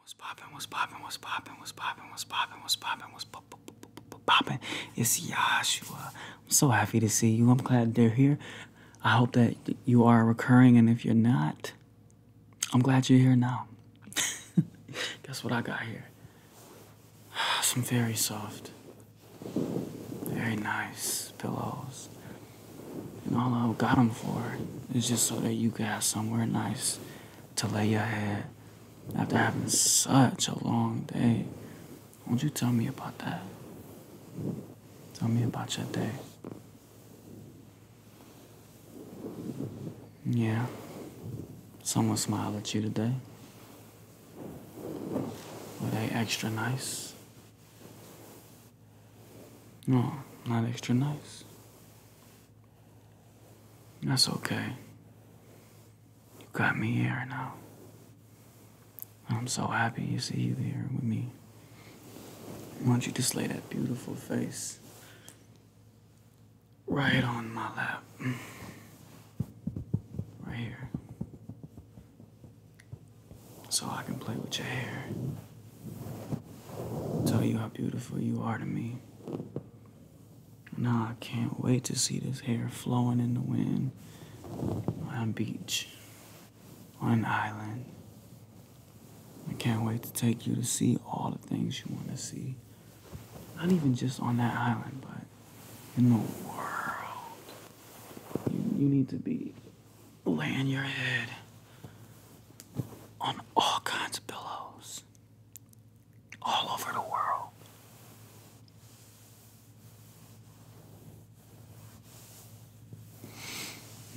What's popping? what's popping? what's popping? what's popping? what's popping? what's popping? what's popping? what's popping? it's Joshua. I'm so happy to see you. I'm glad they're here. I hope that you are recurring, and if you're not, I'm glad you're here now. Guess what I got here? Some very soft, very nice pillows. And all I got them for is just so that you could have somewhere nice to lay your head after having such a long day. Won't you tell me about that? Tell me about your day. Yeah, someone smiled at you today. Were they extra nice? No, not extra nice. That's okay. You got me here now. I'm so happy you see you here with me. Why don't you just lay that beautiful face right on my lap? Right here so I can play with your hair. Tell you how beautiful you are to me. Now I can't wait to see this hair flowing in the wind on a beach, on an island. I can't wait to take you to see all the things you want to see. Not even just on that island, but in the world. you need to be laying your head on all kinds of pillows all over the world.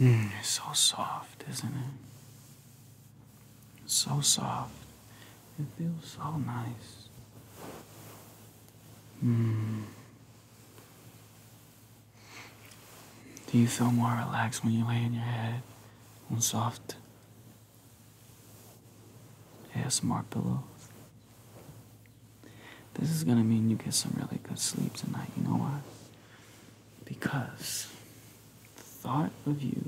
Mm, it's so soft, isn't it? It's so soft. It feels so nice. Mm. Do you feel more relaxed when you lay on your head on soft smart pillow? This is gonna mean you get some really good sleep tonight, you know why? Because the thought of you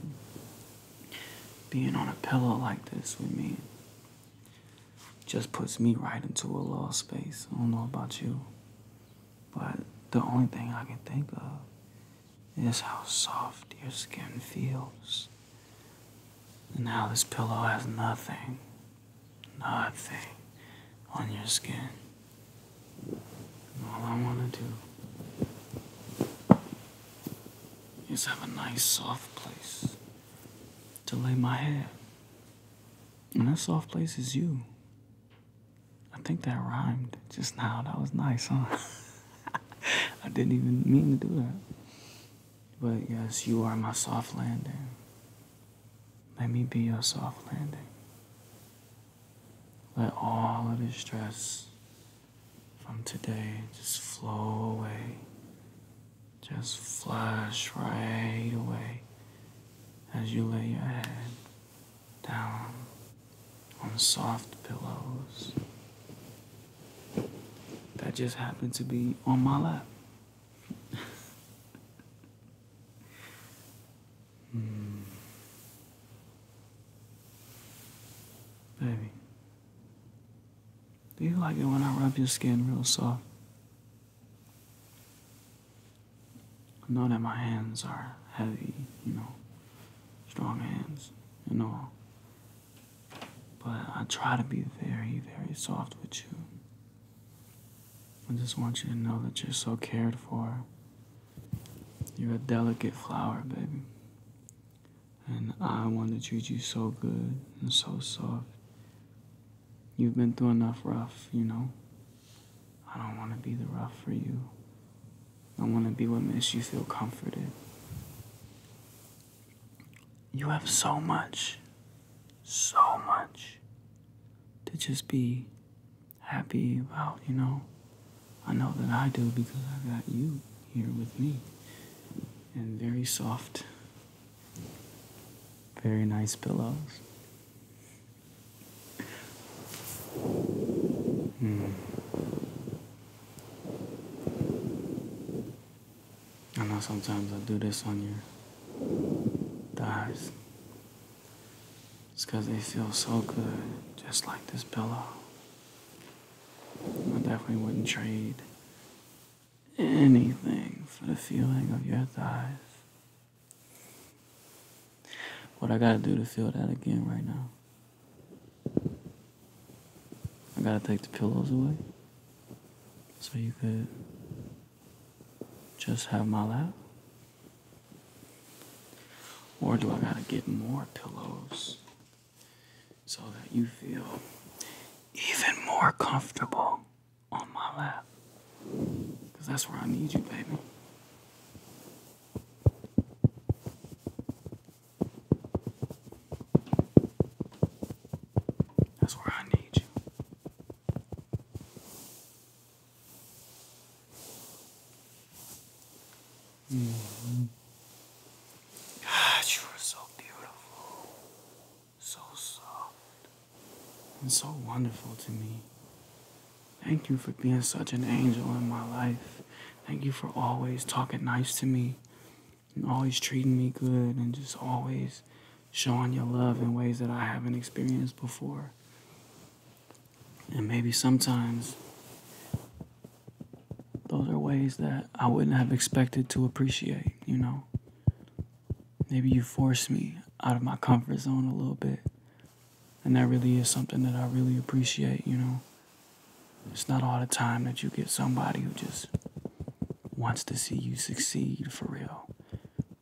being on a pillow like this with me just puts me right into a lost space. I don't know about you. But the only thing I can think of is how soft your skin feels. And how this pillow has nothing, nothing on your skin. All I want to do is have a nice soft place to lay my head. And that soft place is you. I think that rhymed just now. That was nice, huh? I didn't even mean to do that. But yes, you are my soft landing. Let me be your soft landing. Let all of the stress from today just flow away just flush right away as you lay your head down on soft pillows that just happened to be on my lap. mm. Baby, do you like it when I rub your skin real soft? Know that my hands are heavy, you know, strong hands you know. but I try to be very, very soft with you. I just want you to know that you're so cared for. You're a delicate flower, baby. And I want to treat you so good and so soft You've been through enough rough, you know? I don't want to be the rough for you. I want to be what makes you feel comforted. You have so much, so much to just be happy about, you know? I know that I do because I got you here with me and very soft very nice pillows. Hmm. I know sometimes I do this on your thighs. It's because they feel so good, just like this pillow. I definitely wouldn't trade anything for the feeling of your thighs. What I gotta do to feel that again right now? I gotta take the pillows away so you could just have my lap? Or do I gotta get more pillows so that you feel even more comfortable on my lap. Because that's where I need you, baby. That's where I need you. -hmm. God, you are so beautiful, so soft, and so wonderful to me. Thank you for being such an angel in my life. Thank you for always talking nice to me and always treating me good and just always showing your love in ways that I haven't experienced before. And maybe sometimes those are ways that I wouldn't have expected to appreciate, you know. Maybe you forced me out of my comfort zone a little bit. And that really is something that I really appreciate, you know. It's not all the time that you get somebody who just wants to see you succeed for real.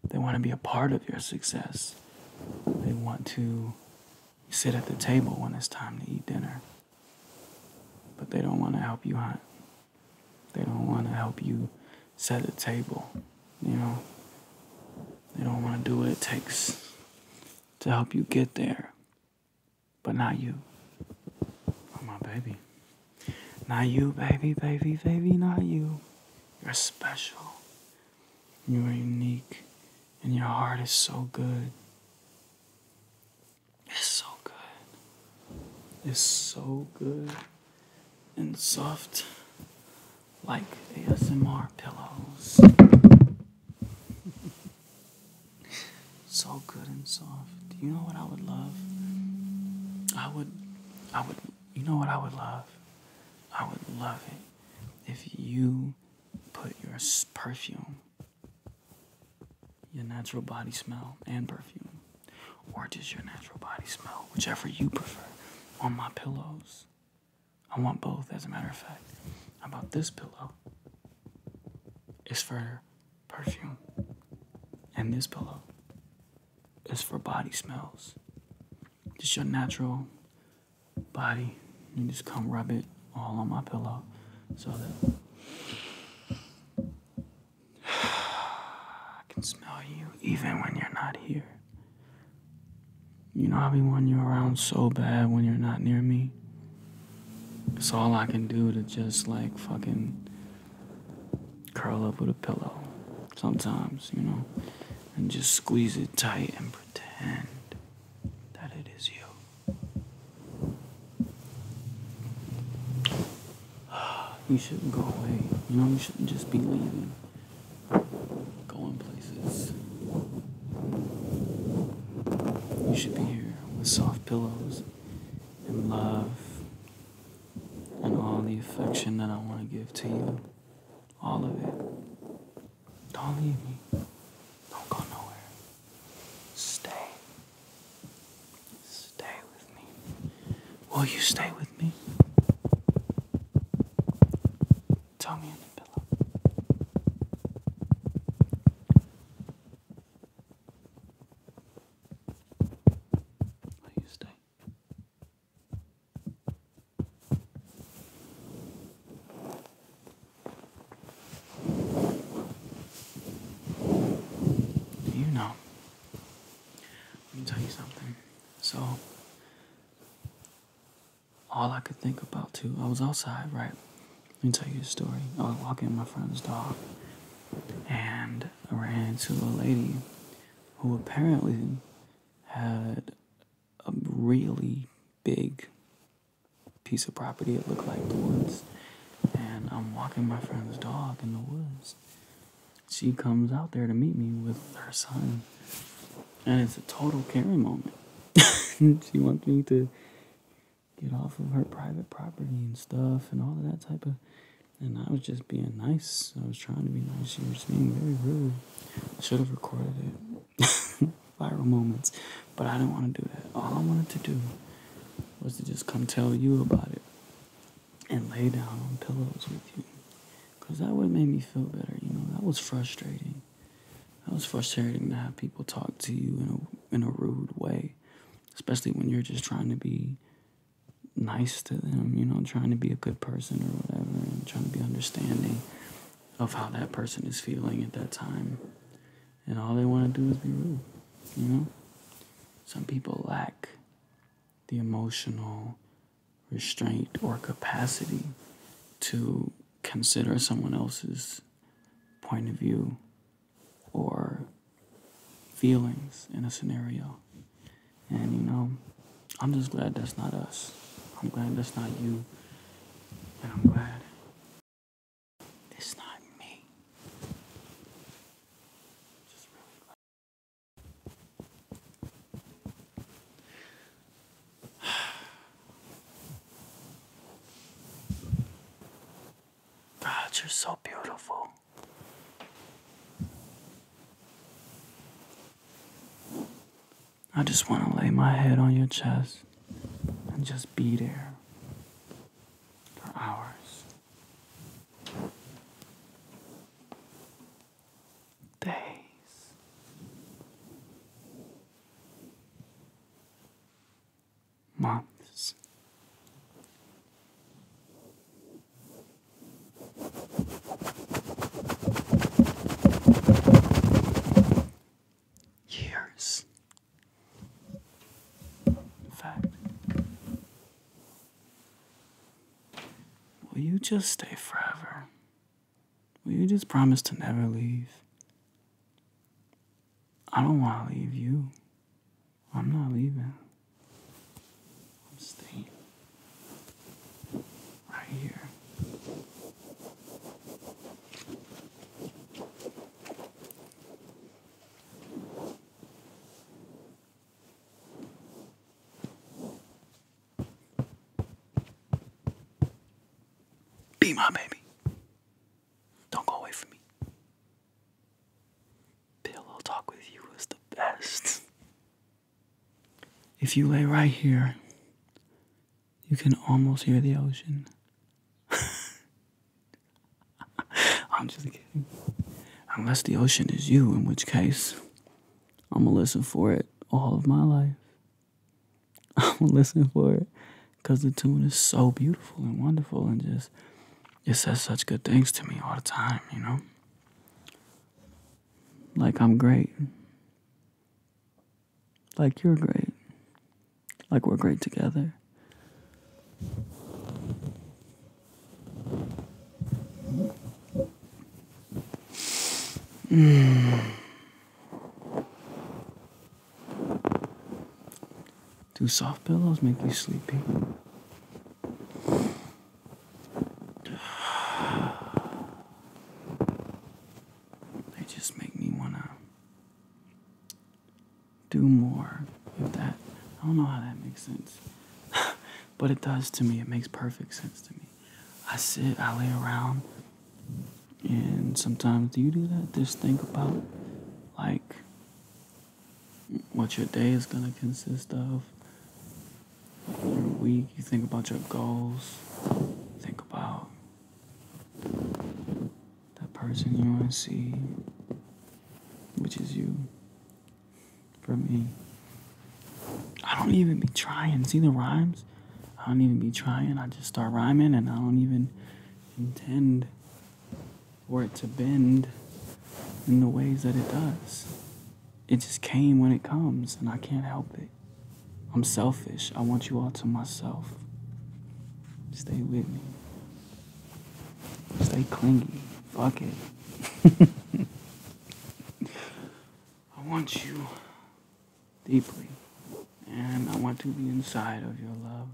They want to be a part of your success. They want to sit at the table when it's time to eat dinner. But they don't want to help you hunt. They don't want to help you set a table. You know, they don't want to do what it takes to help you get there. But not you. Oh, my baby. Not you, baby, baby, baby, not you. You're special. You are unique. And your heart is so good. It's so good. It's so good and soft like ASMR pillows. so good and soft. Do you know what I would love? I would I would you know what I would love? I would love it if you put your perfume your natural body smell and perfume, or just your natural body smell, whichever you prefer, on my pillows. I want both, as a matter of fact. about this pillow? is for perfume, and this pillow is for body smells. Just your natural body you just come rub it all on my pillow so that I can smell you even when you're not here. You know, I be wanting you around so bad when you're not near me. It's all I can do to just like fucking curl up with a pillow sometimes, you know, and just squeeze it tight and pretend that it is you. You shouldn't go away. You know, you shouldn't just be leaving. Going places. You should be here with soft pillows and love and all the affection that I want to give to you. All of it. Don't leave me. Don't go nowhere. Stay. Stay with me. Will you stay with me? Tell in the pillow. Will you stay? You know. Let me tell you something. So, all I could think about too, I was outside, right? Let me tell you a story. I was walking my friend's dog, and I ran into a lady who apparently had a really big piece of property. It looked like the woods. And I'm walking my friend's dog in the woods. She comes out there to meet me with her son. And it's a total Karen moment. she wants me to get off of her private property and stuff and all of that type of. And I was just being nice. I was trying to be nice. She was being very rude. Should have recorded it. viral moments. But I didn't want to do that. All I wanted to do was to just come tell you about it and lay down on pillows with you. Because that would make me feel better. You know, that was frustrating. That was frustrating to have people talk to you in a, in a rude way, especially when you're just trying to be nice to them, you know, trying to be a good person or whatever and trying to be understanding of how that person is feeling at that time. And all they want to do is be rude, you know? Some people lack the emotional restraint or capacity to consider someone else's point of view or feelings in a scenario. And you know, I'm just glad that's not us. I'm glad that's not you. And I'm glad it's not me. God, you're so beautiful. I just want to lay my head on your chest and just be there for hours, days. Months, Years. fact, will you just stay forever? Will you just promise to never leave? I don't want to leave you. I'm not leaving. I'm staying right here. Be my baby. Don't go away from me. Pillow talk with you is the best. If you lay right here, you can almost hear the ocean. I'm just kidding. Unless the ocean is you, in which case, I'm gonna listen for it all of my life. I'm gonna listen for it because the tune is so beautiful and wonderful and just it says such good things to me all the time, you know? Like I'm great. Like you're great. Like we're great together. Do soft pillows make you sleepy? They just make me want to do more with that. I don't know how that makes sense. but it does to me. It makes perfect sense to me. I sit, I lay around, and sometimes do you do that? Just think about like what your day is going to consist of. Your week, you think about your goals, think about that person you want to see, which is you. For me, I don't even be trying. See the rhymes? I don't even be trying. I just start rhyming and I don't even intend for it to bend in the ways that it does. It just came when it comes, and I can't help it. I'm selfish. I want you all to myself. Stay with me. Stay clingy. Fuck it. I want you deeply, and I want to be inside of your love.